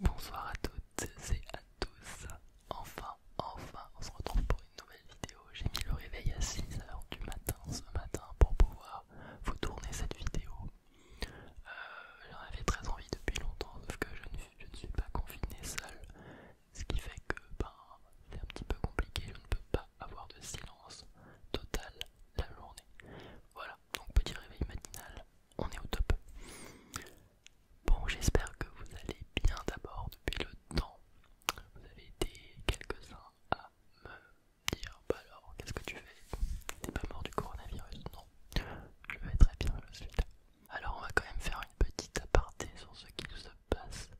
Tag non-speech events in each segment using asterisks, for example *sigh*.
Bonsoir à toutes et à tous. Enfin, enfin, on se retrouve pour une nouvelle vidéo. J'ai mis le réveil à 6h du matin ce matin pour pouvoir vous tourner cette vidéo. Euh, j'en avais très envie depuis longtemps, sauf que je ne, suis pas confiné seule. Ce qui fait que ben, c'est un petit peu compliqué, je ne peux pas avoir de silence total la journée. Voilà, donc petit réveil matinal on est au top. Bon, j'espère que vous allez bien d'abord depuis le temps. Vous avez été quelques-uns à me dire Bah alors, qu'est-ce que tu fais T'es pas mort du coronavirus Non, je vais très bien, je suis Alors, on va quand même faire une petite aparté sur ce qui se passe.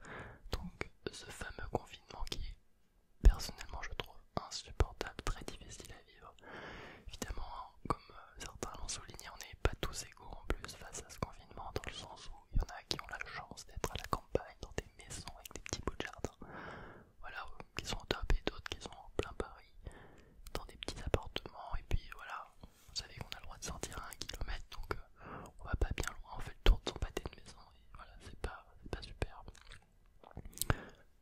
Donc, ce fameux confinement qui est personnellement, je trouve, insupportable, très difficile à vivre. Évidemment, comme euh, certains l'ont souligné, on n'est pas tous égaux en plus face à ce confinement, dans le sens où il y en a qui ont la chance d'être à la campagne, dans des maisons avec des petits bouts de jardin, voilà, euh, qui sont au top, et d'autres qui sont en plein Paris, dans des petits appartements, et puis voilà, vous savez qu'on a le droit de sortir à un kilomètre, donc euh, on va pas bien loin, on fait le tour de son pâté de maison, et voilà, c'est pas, pas super.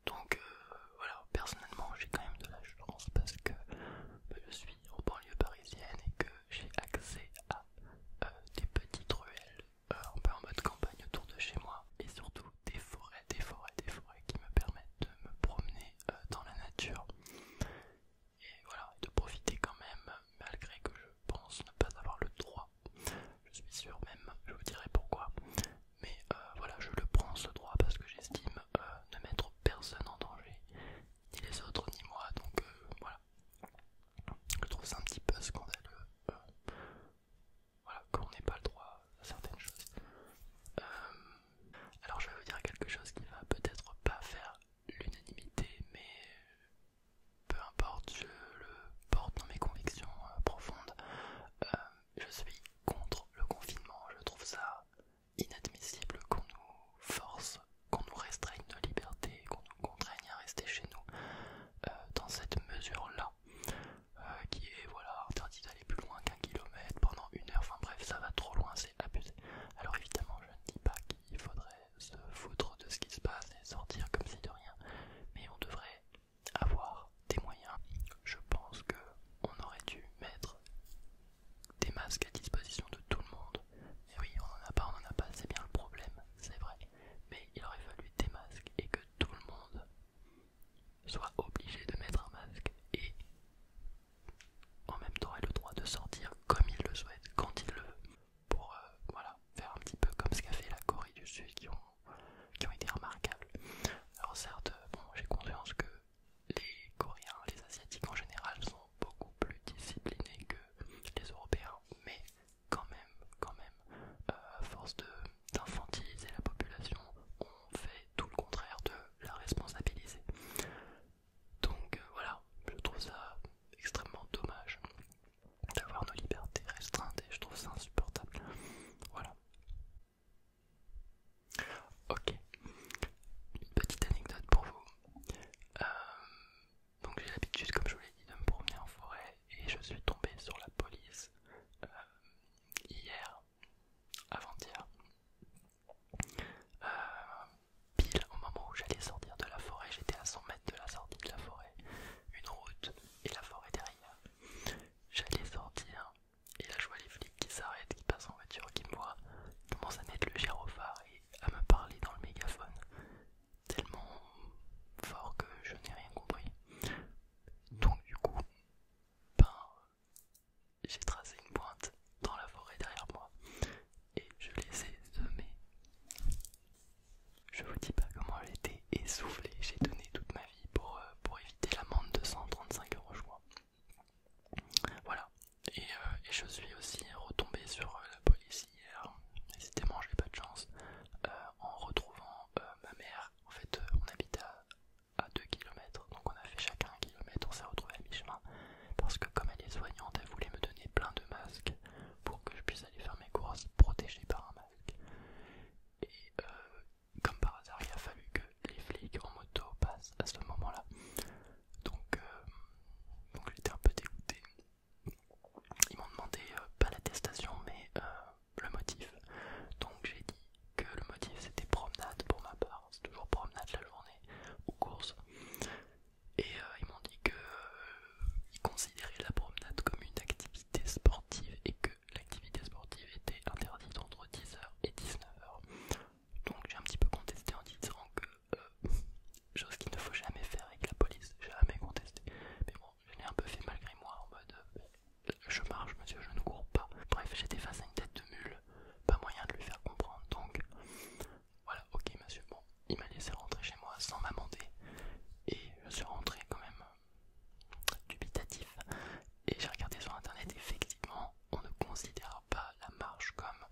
Donc euh, voilà, personnellement j'ai quand même de la chance parce que bah, je suis en banlieue parisienne et que j'ai accès à euh, des petites ruelles euh, un peu en mode campagne autour de chez moi et surtout des forêts, des forêts, des forêts qui me permettent de me promener dans la nature et voilà, de profiter quand même malgré que je pense ne pas avoir le droit. Je suis sûr même, je vous dirai pourquoi, mais euh, voilà, je le prends ce droit parce que j'estime euh, ne mettre personne en danger, ni les autres ni moi, donc euh, voilà. Je trouve ça un petit peu scandaleux, voilà, qu'on n'ait pas le droit à certaines choses. alors je vais vous dire quelque chose qui va peut-être pas faire l'unanimité, mais peu importe, je le porte dans mes convictions profondes je suis contre le confinement, je trouve ça inadmissible qu'on nous force, qu'on nous restreigne nos libertés, qu'on nous contraigne à rester chez nous euh, dans cette mesure-là, euh, qui est voilà interdit d'aller plus loin qu'un kilomètre pendant une heure, enfin bref, ça va trop loin, c'est abusé. Alors évidemment, je ne dis pas qu'il faudrait se foutre de ce qui se passe et sortir comme si de rien, mais on devrait avoir des moyens. Je pense que on aurait dû mettre des masques à disposition de tout le monde. Et oui, on n'en a pas, on n'en a pas, c'est bien le problème, c'est vrai. Mais il aurait fallu des masques et que tout le monde soit obligé de mettre un masque et en même temps ait le droit de sortir comme il le souhaite, quand il le veut, pour euh, voilà, faire un petit peu comme ce qu'a fait la Corée du Sud qui ont qui ont été remarquables. Alors certes, bon, j'ai conscience que les Coréens, les Asiatiques en général sont beaucoup plus disciplinés que les Européens, mais quand même, quand même, euh, à force d'infantiliser la population, on fait tout le contraire de la responsabiliser. Donc euh, voilà, je trouve ça extrêmement dommage d'avoir nos libertés restreintes et je trouve ça insupportable. Voilà. Ok, une petite anecdote pour vous. Euh, donc j'ai l'habitude, comme je vous l'ai dit, de me promener en forêt et je suis tombé sur la police euh, hier, avant-hier, euh, pile au moment où j'allais sortir de la forêt, j'étais à 100 mètres de la sortie de la forêt, une route et la forêt derrière. J'allais sortir et là je vois les flics qui s'arrêtent, qui passent en voiture, qui me voient, commence commencent à mettre le gyrophare et à me parler dans le mégaphone tellement fort que je n'ai rien compris. Donc du coup, ben, j'ai tracé une pointe dans la forêt derrière moi et je les ai semés. Je vous dis pas comment j'étais essoufflée, j'ai donné toute ma vie, euh, pour, éviter l'amende de 135 euros, je crois. Voilà, et, euh, je suis aussi retombée sur euh, la police hier, décidément j'ai pas de chance, en retrouvant ma mère. En fait, on habite à, 2 km, donc on a fait chacun un km, on s'est retrouvé à mi-chemin, parce que comme elle est soignante, elle voulait me donner plein de masques pour que je puisse aller faire mes courses protégé par un masque. Et comme par hasard, il a fallu que les flics en moto passent à ce moment-là. Donc, euh, j'étais un peu dégoûté. Ils m'ont demandé euh, pas l'attestation, mais euh, le motif. Donc j'ai dit que le motif c'était promenade pour ma part, c'est toujours promenade la journée ou course. Et ils m'ont dit que ils considéraient la promenade comme une activité sportive et que l'activité sportive était interdite entre 10h et 19h. Donc j'ai un petit peu contesté en disant que, euh, chose qu'il ne faut jamais faire avec la police, jamais contesté. Mais bon, je l'ai un peu fait malgré moi en mode euh, je marche monsieur, je ne cours pas. Bref, j'étais face à une tête de mule, pas moyen de lui faire comprendre. Donc voilà, ok monsieur, bon, il m'a laissé rentrer chez moi sans m'amender. Et je suis rentré quand même dubitatif et j'ai regardé sur internet effectivement on ne considère pas la marche comme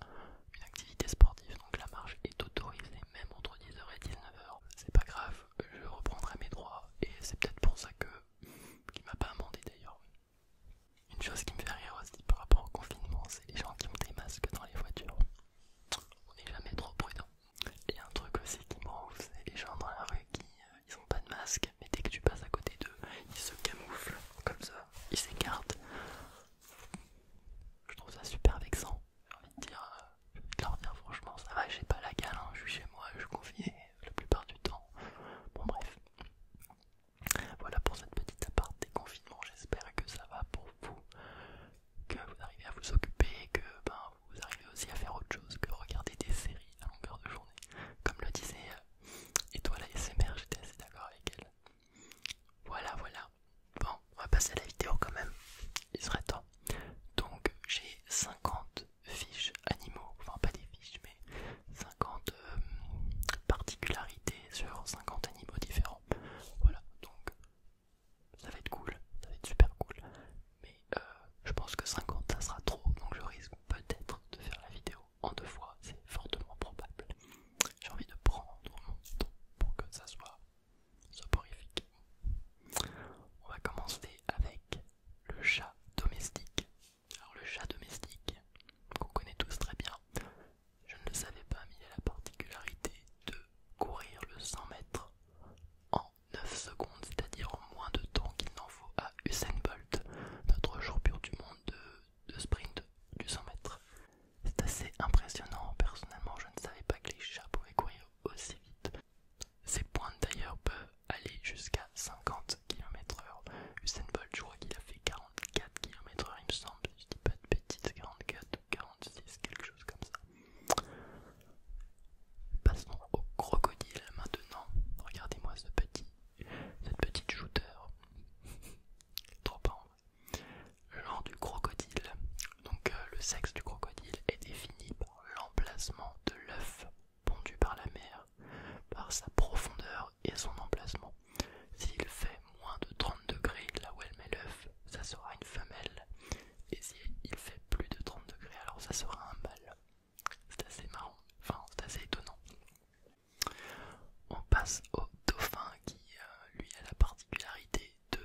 une activité sportive donc la marche est autorisée même entre 10h et 19h c'est pas grave je reprendrai mes droits et c'est peut-être pour ça que m'a pas amendé d'ailleurs une chose qui me fait rire aussi par rapport au confinement c'est les gens qui ont des masques dans les voitures on n'est jamais trop prudent et un truc aussi qui me rend c'est les gens dans la rue qui euh, ils ont pas de masque, mais dès que tu passes à côté d'eux, ils se camouflent comme ça, ils s'écartent. Je trouve ça super vexant. J'ai envie de dire, leur franchement, ça va, j'ai pas la gale, hein, je suis chez moi, je suis confiné la plupart du temps. Bon, bref. Voilà pour cette petite des confinements, J'espère que ça va pour vous, que vous arrivez à vous occuper, que ben vous arrivez aussi à faire autre chose que regarder des séries à longueur de journée. Comme le disait euh, Étoile ASMR, j'étais assez d'accord avec elle. Voilà, voilà. Bon, on va passer à la vidéo quand même. Il serait temps. Donc, j'ai 50 fiches animaux, enfin pas des fiches, mais 50 euh, particularités sur 50 animaux différents. Voilà, donc ça va être cool, ça va être super cool, mais euh, je pense que 50 ça sera trop, donc je risque peut-être de faire la vidéo en deux fois, c'est fortement probable. J'ai envie de prendre mon temps pour que ça soit soporifique. On va commencer avec le chat domestique. Alors le chat domestique, qu'on connaît tous très bien, je ne le savais pas, mais il a la particularité de courir le 100 mètres en 9 secondes, c'est-à-dire moins de temps qu'il n'en faut à Usain Bolt, notre pur du monde de, sprint du 100 mètres. C'est assez impressionnant, personnellement je ne savais pas que les chats pouvaient courir aussi vite. Ces pointes d'ailleurs peuvent aller jusqu'à 50 km/h. Usain Bolt, je crois qu'il a fait 44 km/h, il me semble, je ne dis pas de petites 44 46, quelque chose comme ça. Passons au crocodile maintenant. Regardez-moi ce petit, cette petite shooter. *laughs* Trop du crocodile. Donc euh, le sexe du crocodile est défini par l'emplacement de l'œuf pondu par la mer, par sa profondeur et son emplacement. S'il fait moins de 30 degrés là où elle met l'œuf, ça sera une femelle. Et si il fait plus de 30 degrés, alors ça sera un mâle. C'est assez marrant, enfin c'est assez étonnant. On passe au dauphin qui, euh, lui, a la particularité de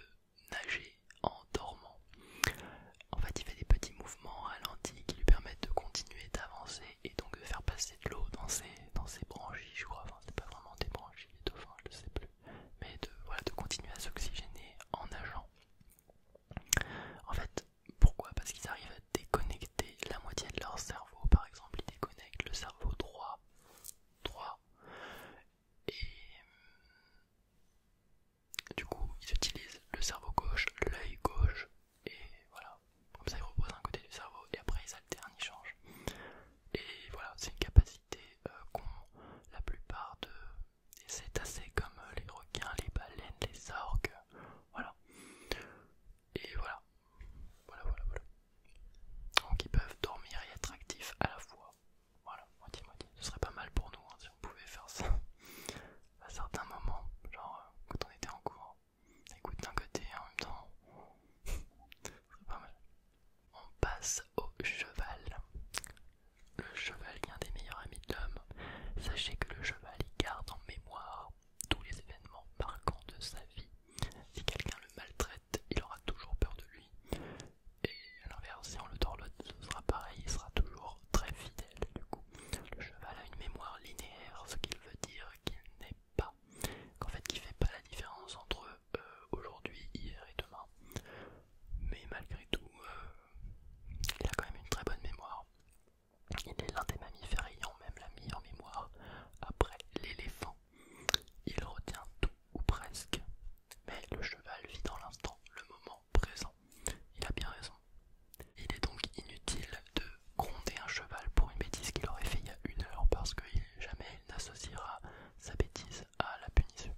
nager en dormant. En fait, il fait des petits mouvements ralentis qui lui permettent de continuer d'avancer et donc de faire passer de l'eau dans ses, dans branchies, je crois. Enfin, c'est pas vraiment des branchies, des dauphins, je ne sais plus. Mais de, voilà, de continuer à s'oxygéner en nageant. En fait, pourquoi Parce qu'ils arrivent à déconnecter la moitié de leur cerveau. Par exemple, ils déconnectent le cerveau droit. droit et euh, du coup, ils utilisent le cerveau gauche, l'œil gauche, et voilà. Comme ça, ils reposent un côté du cerveau et après ils alternent, ils changent. Et voilà, c'est une capacité euh, qu'ont la plupart de et c'est assez comme euh, les requins, les baleines, les orques, voilà. Et voilà, voilà, voilà, voilà. Donc ils peuvent dormir et être actifs à la fois. Voilà, moitié, moitié. Ce serait pas mal pour nous hein, si on pouvait faire ça *laughs* à certains moments, genre euh, quand on était en cours. Écoute d'un côté en même temps, *laughs* ce serait pas mal. On passe au cheval le cheval est un des meilleurs amis de l'homme. Sachez que le cheval y garde en mémoire tous les événements marquants de sa vie. Si quelqu'un le maltraite, il aura toujours peur de lui. Et à l'inverse, si on le dorlote, ce sera pareil, il sera toujours très fidèle. Du coup, le cheval a une mémoire linéaire, ce qui veut dire qu'il n'est pas, qu'en fait, fait pas la différence entre euh, aujourd'hui, hier et demain mais malgré tout, euh, il a quand même une très bonne mémoire. Il est l'un des mammifères ayant même la meilleure mémoire après l'éléphant. Il retient tout ou presque, mais le cheval vit dans l'instant, le moment présent. Il a bien raison. Il est donc inutile de gronder un cheval pour une bêtise qu'il aurait fait il y a une heure parce que jamais il n'associera sa bêtise à la punition.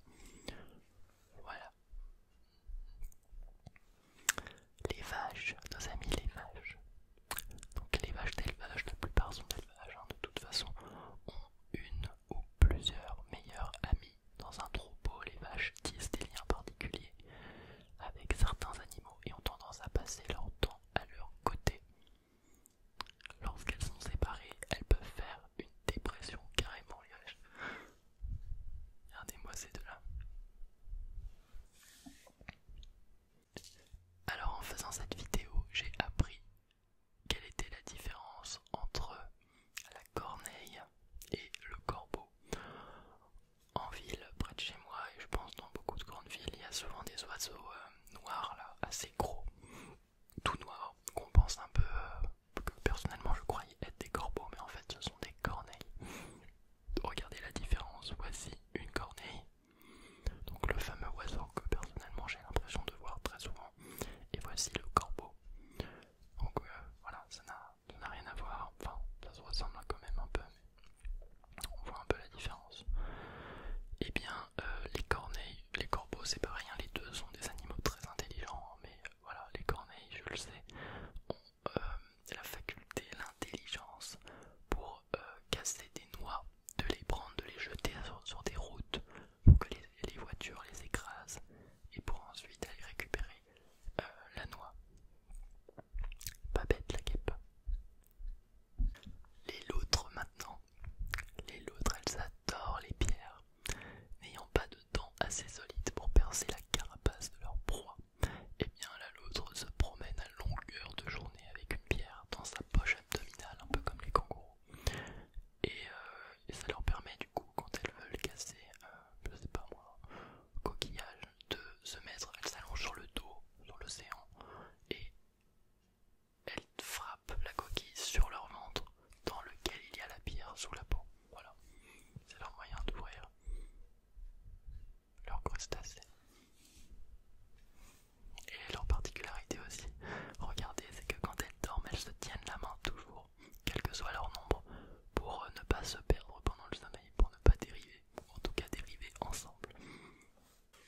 Voilà. Les vaches, nos amis les vaches. Donc les vaches d'élevage, la plupart sont d'élevage, hein. de toute façon, ont une ou plusieurs meilleures amies Dans un troupeau, les vaches tissent des liens particuliers avec certains animaux et ont tendance à passer leur temps à leur côté. Lorsqu'elles sont séparées, elles peuvent faire une dépression carrément, les Regardez-moi ces deux-là. Alors en faisant cette vidéo, j'ai appris quelle était la différence entre la corneille et le corbeau. En ville, près de chez moi, et je pense dans beaucoup de grandes villes, il y a souvent des oiseaux euh, noirs là, assez gros, tout noirs, qu'on pense un peu euh, que personnellement je croyais être des corbeaux, mais en fait ce sont des corneilles. Regardez la différence, voici une corneille, donc le fameux oiseau que personnellement j'ai l'impression de voir très souvent, et voici le corbeau. Donc euh, voilà, ça n'a rien à voir, enfin ça se ressemble quand même un peu, mais on voit un peu la différence. Et eh bien euh, les corneilles, les corbeaux c'est pas rien, les deux sont des animaux très intelligents, Oh, mais voilà, les corneilles, je le sais, ont euh, la faculté, l'intelligence pour euh, casser des noix, de les prendre, de les jeter sur, des routes pour que les, voitures les écrasent et pour ensuite aller récupérer euh, la noix. Pas bête la guêpe. Les loutres maintenant les loutres, elles adorent les pierres. N'ayant pas de dents assez solides pour percer la carapace de leur proie, eh bien la loutre se promène à longueur de journée avec une pierre dans sa poche abdominale, un peu comme les kangourous. Et, euh, ça leur permet du coup, quand elles veulent casser, un, euh, je sais pas moi, coquillage, de se mettre, elles s'allongent sur le dos, dans l'océan, et elles frappent la coquille sur leur ventre dans lequel il y a la pierre sous la peau. Voilà, c'est leur moyen d'ouvrir leur crustacé. Et leur particularité aussi, regardez, c'est que quand elles dorment, elles se tiennent la main toujours, quel que soit leur nombre, pour ne pas se perdre pendant le sommeil, pour ne pas dériver, ou en tout cas dériver ensemble.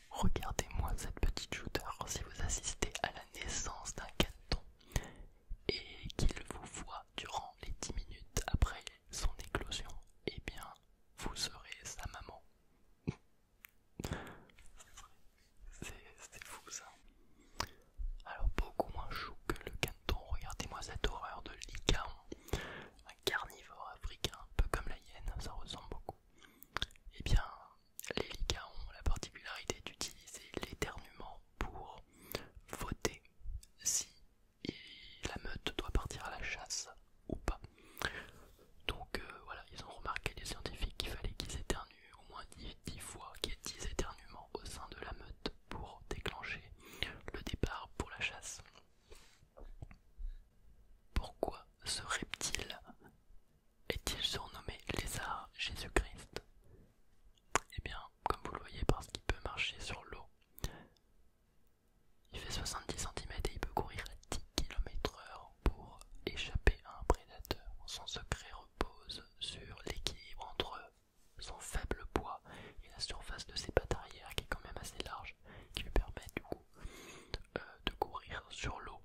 Regardez-moi cette petite shooter si vous assistez à la naissance d'un canton et qu'il vous voit durant les 10 minutes après son éclosion, eh bien, vous serez sa maman. C'est fou ça. Alors beaucoup moins chou que le canton, regardez-moi cette horreur de licaon. Un carnivore africain, un peu comme la hyène, ça ressemble beaucoup. Eh bien, les Liga ont la particularité d'utiliser l'éternuement pour voter si la meute doit partir à la chasse ou pas. Donc euh, voilà, ils ont remarqué les scientifiques qu'il fallait qu'ils éternuent au moins dix fois, qu'il y ait 10 éternuements au sein de la meute pour déclencher le départ pour la chasse. Pourquoi ce reptile est-il surnommé lézard Jésus-Christ Eh bien, comme vous le voyez, parce qu'il peut marcher sur l'eau, il fait 70 cm et il peut courir à 10 km heure pour échapper à un prédateur. Son secret repose sur l'équilibre entre son faible poids et la surface de ses pattes arrière, qui est quand même assez large, qui lui permet du coup euh, de courir sur l'eau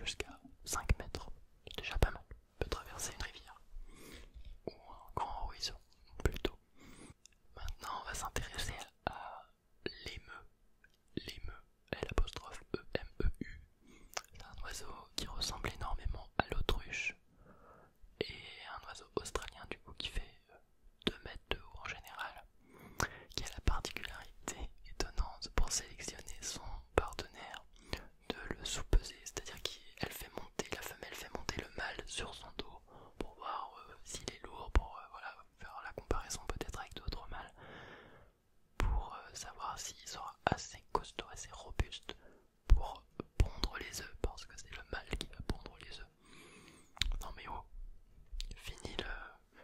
jusqu'à 5 mètres, déjà pas mal. On peut traverser une rivière ou un grand horizon, plutôt. Maintenant, on va s'intéresser à l'émeu. L'émeu, l'apostrophe E-M-E-U. C'est un oiseau qui ressemble énormément à l'autruche et un oiseau australien, du coup, qui fait 2 mètres de haut en général qui a la particularité étonnante pour sélectionner son partenaire de le sous-peser, c'est-à-dire qu'elle fait monter, la femelle fait monter le mâle sur son dos pour voir euh, s'il est lourd, pour euh, faire la comparaison peut-être avec d'autres mâles, pour euh, savoir s'il sera assez costaud, assez robuste pour pondre les œufs, parce que c'est le mâle qui va pondre les œufs. Non mais oh, fini le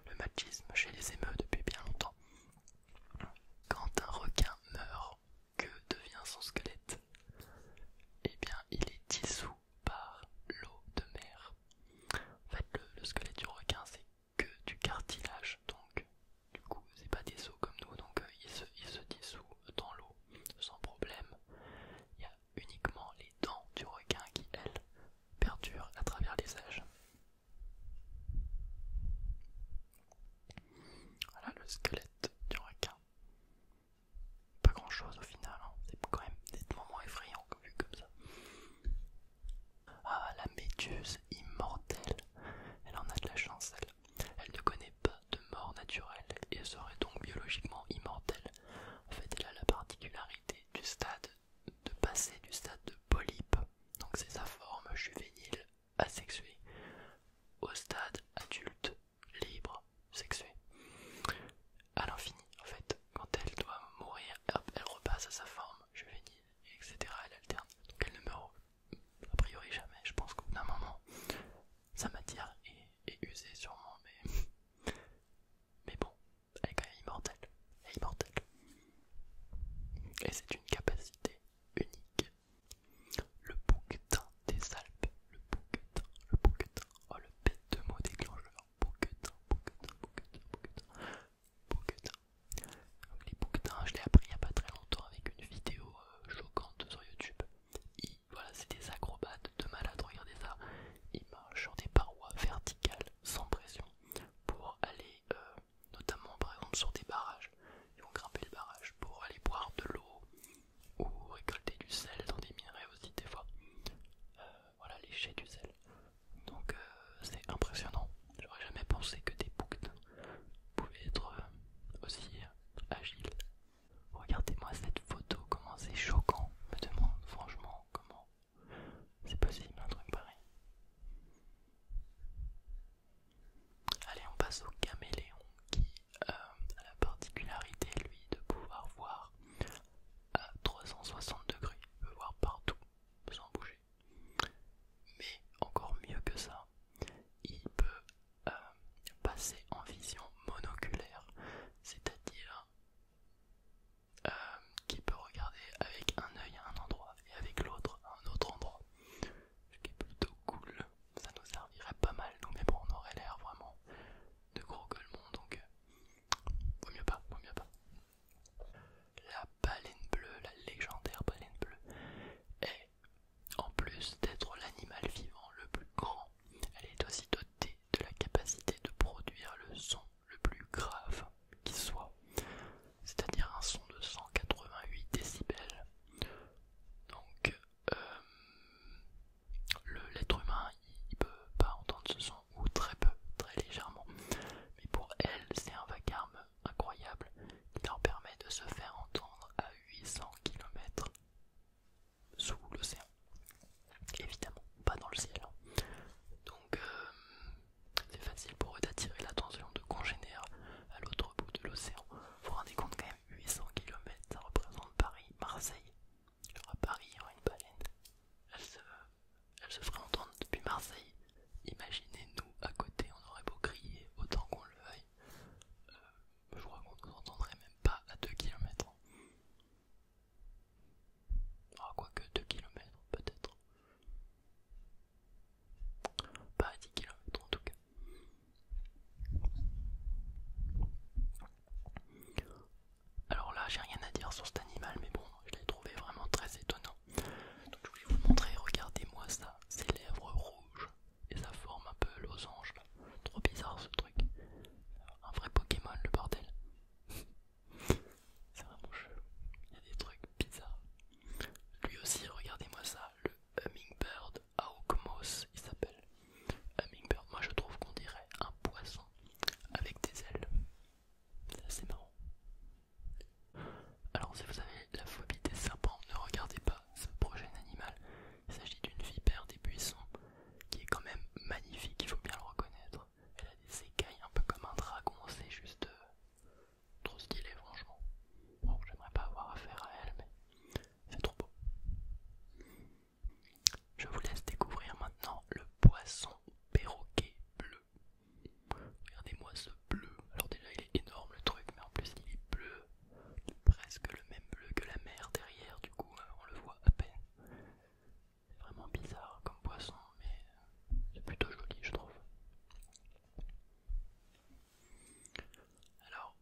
le machisme chez les émeutes depuis bien longtemps. Quand un requin meurt, que devient son squelette Eh bien, il est dissous par l'eau de mer. En fait, le, squelette du requin, c'est que du cartilage, donc du coup, c'est pas des os comme nous, donc euh, il se dissout dans l'eau sans problème. Il y a uniquement les dents du requin qui, elles, perdurent à travers les âges. Voilà le squelette du requin. Pas grand chose au final, hein. c'est quand même des moments effrayants vu comme ça. Ah, la méduse immortelle, elle en a de la chance, elle. Elle ne connaît pas de mort naturelle et serait donc biologiquement immortelle. En fait, elle a la particularité du stade de passer du stade de polype, donc c'est sa forme juvénile asexuée, au stade adulte, libre, sexué. À l'infini, en fait, quand elle doit mourir, elle repasse à sa forme juvénile, etc. Elle alterne, donc elle ne meurt a priori jamais. Je pense qu'au bout d'un moment, sa matière est, usée sûrement, mais, mais bon, elle est quand même immortelle. est Et c'est une capacité unique. Le bouquetin des Alpes. Le bouquetin, le bouquetin. Oh le bête de mot déclencheur. Bouquetin, bouquetin, bouquetin, bouquetin. les bouquetins, je l'ai appris il n'y a pas très longtemps avec une vidéo euh, choquante sur YouTube. voilà, c'est des acrobates de malades, regardez ça. Ils marchent sur des parois verticales sans pression pour aller euh, notamment par exemple sur des barrages. Ils vont grimper les barrages pour aller boire de l'eau ou récolter du sel dans des minerais aussi des fois. Euh, voilà les jets du sel. Donc euh, c'est impressionnant. J'aurais jamais pensé que des boucs pouvaient être aussi agiles. Regardez-moi cette photo, comment c'est choquant. Je me demande franchement comment c'est possible un truc pareil. Allez, on passe au caméléon qui euh, a la particularité, lui, de pouvoir voir à euh, 360 degrés. Il peut voir partout sans bouger. Mais encore mieux que ça, il peut euh, passer en vision monoculaire, c'est-à-dire euh, qui peut regarder avec un œil à un endroit et avec l'autre à un autre endroit. Ce qui est plutôt cool, ça nous servirait pas mal, nous, mais on aurait l'air vraiment de gros gueulemons, donc euh, vaut mieux pas, vaut mieux pas. La baleine bleue, la légendaire baleine bleue, est, en plus d'être l'animal vivant le plus grand, elle est aussi dotée de la capacité de produire le son le plus grave qui soit, c'est-à-dire un son de 188 décibels. Donc, euh, l'être humain, il ne peut pas entendre ce son, ou très peu, très légèrement. Mais pour elle, c'est un vacarme incroyable qui leur permet de se faire entendre à 800 km sous l'océan. Évidemment, pas dans le ciel. Donc, euh, c'est facile pour eux d'attirer l'attention de congénères à l'autre bout de l'océan. Vous vous rendez compte quand même 800 km, ça représente Paris, Marseille. Alors à Paris, il une baleine. Elle se, elle se ferait entendre depuis Marseille. Imaginez-nous à côté, on aurait beau crier autant qu'on le veuille. Euh, je crois qu'on ne nous entendrait même pas à 2 km. Ah, quoique 2 km peut-être. Pas 10 km en tout cas. Alors là, j'ai rien à dire sur cet animal, mais bon, je l'ai trouvé vraiment très étonnant. Donc je voulais vous montrer, regardez-moi ça, ses lèvres rouges et sa forme un peu losange Trop bizarre ce truc. Un vrai Pokémon le bordel. C'est vraiment chelou. Il y a des trucs bizarres. Lui aussi, regardez-moi ça, le Hummingbird Aukmos, il s'appelle. Hummingbird, moi je trouve qu'on dirait un poisson avec des ailes. C'est assez marrant. Alors si vous avez la phobie des serpents, ne regardez pas ce prochain animal. Il s'agit d'une vipère des buissons qui est quand même magnifique, il faut bien le reconnaître. Elle a des écailles un peu comme un dragon, c'est juste euh, trop stylé franchement. Bon, j'aimerais pas avoir affaire à elle, mais c'est trop beau. Je vous laisse découvrir maintenant le poisson perroquet bleu. Regardez-moi ce bleu. Alors déjà il est énorme le truc, mais en plus il est bleu. Presque le même bleu que la mer derrière, du coup euh, on le voit à peine. C'est vraiment bizarre comme poisson, mais c'est plutôt joli, je trouve. Alors,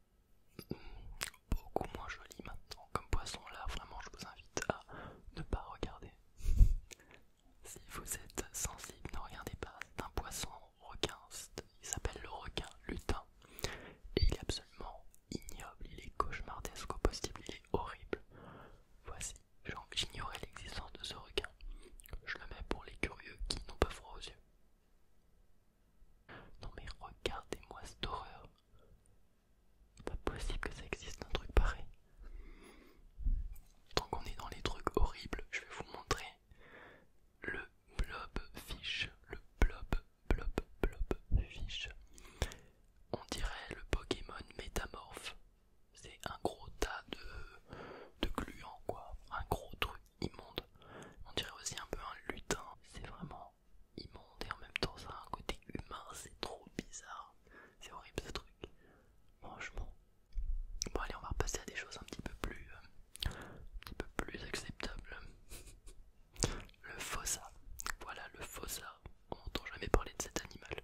beaucoup moins joli maintenant comme poisson là, vraiment je vous invite à ne pas regarder. si vous êtes sensible, ne regardez pas, c'est un poisson requin, il s'appelle le requin lutin. Et il est absolument ignoble, il est cauchemardesque au possible, il est horrible. Voici J'ignorais l'existence de ce requin. Je le mets pour les curieux qui n'ont pas froid aux yeux. Non mais regardez-moi cette horreur. Pas possible que ça existe un truc pareil. Tant qu'on est dans les trucs horribles, je vais vous montrer le blob Le blob, blob, blob fish. On dirait le Pokémon métamorphe. C'est un gros tas de, de gluants, quoi. Un gros truc immonde. On dirait aussi un peu un lutin. C'est vraiment immonde et en même temps, ça a un côté humain. C'est trop bizarre. C'est horrible ce truc. Franchement. Bon, allez, on va repasser à des choses un petit peu plus. Euh, un petit peu plus acceptables. *laughs* le fossa. Voilà, le fossa on n'entend jamais parler de cet animal.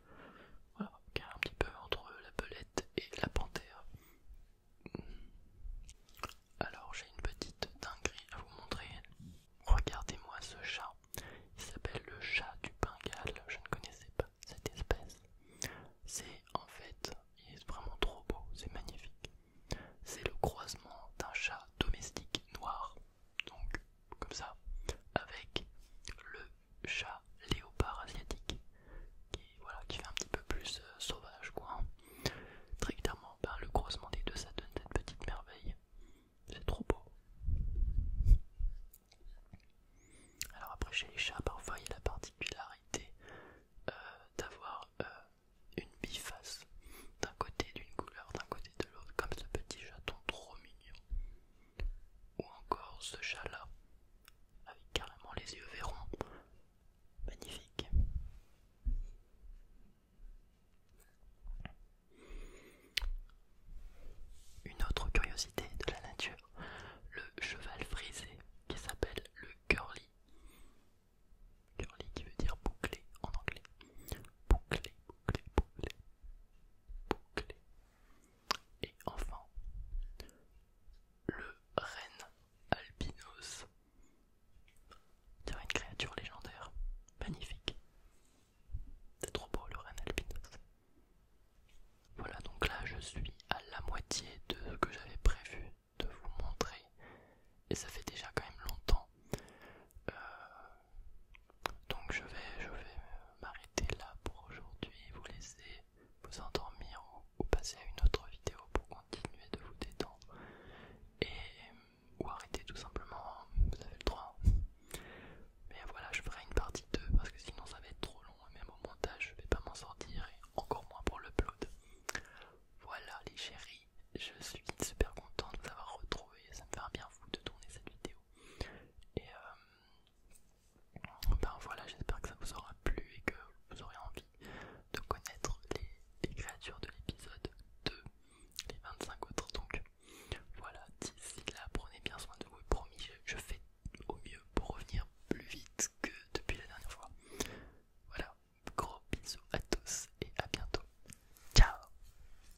Voilà, qui un petit peu entre la belette et la panthère. Alors j'ai une petite dinguerie à vous montrer. Regardez-moi ce chat. Il s'appelle le chat du Bengale. Je ne connaissais pas cette espèce. C'est en fait, il est vraiment trop beau, c'est magnifique. C'est le croisement d'un chat domestique noir donc comme ça, avec le chat léopard asiatique, qui, voilà, qui fait un petit peu plus euh, sauvage, quoi. Hein. Très clairement, ben, le grossement des deux, ça donne cette petite merveille. C'est trop beau. Alors après, chez les chats, parfois, il y a la particularité euh, d'avoir euh, une biface d'un côté d'une couleur, d'un côté de l'autre, comme ce petit chaton trop mignon. Ou encore ce chat-là, avec carrément les yeux verrons. Magnifique. Une autre curiosité de la nature, le cheval frisé qui s'appelle le curly. Curly qui veut dire bouclé en anglais. Bouclé, bouclé, bouclé, et enfin, le reine albinos. C'est une créature légendaire, magnifique. C'est trop beau le reine albinos. Voilà donc là je suis à la moitié de ce que j'avais prévu de vous montrer et ça fait déjà quand même longtemps. Euh, donc je vais, m'arrêter là pour aujourd'hui, vous laisser vous endormir ou, passer à une autre vidéo pour continuer de vous détendre et ou arrêter tout simplement, vous avez le droit. Mais voilà, je ferai une partie 2 parce que sinon ça va être trop long et même au montage je vais pas m'en sortir et encore moins pour le l'upload. Voilà les chéris, je suis super content de vous avoir retrouvé, ça me fait bien fou de tourner cette vidéo. Et euh, ben voilà, j'espère que ça vous aura plu et que vous aurez envie de connaître les, créatures de l'épisode 2, les 25 autres. Donc voilà, d'ici là, prenez bien soin de vous. Promis, je fais au mieux pour revenir plus vite que depuis la dernière fois. Voilà, gros bisous à tous et à bientôt. Ciao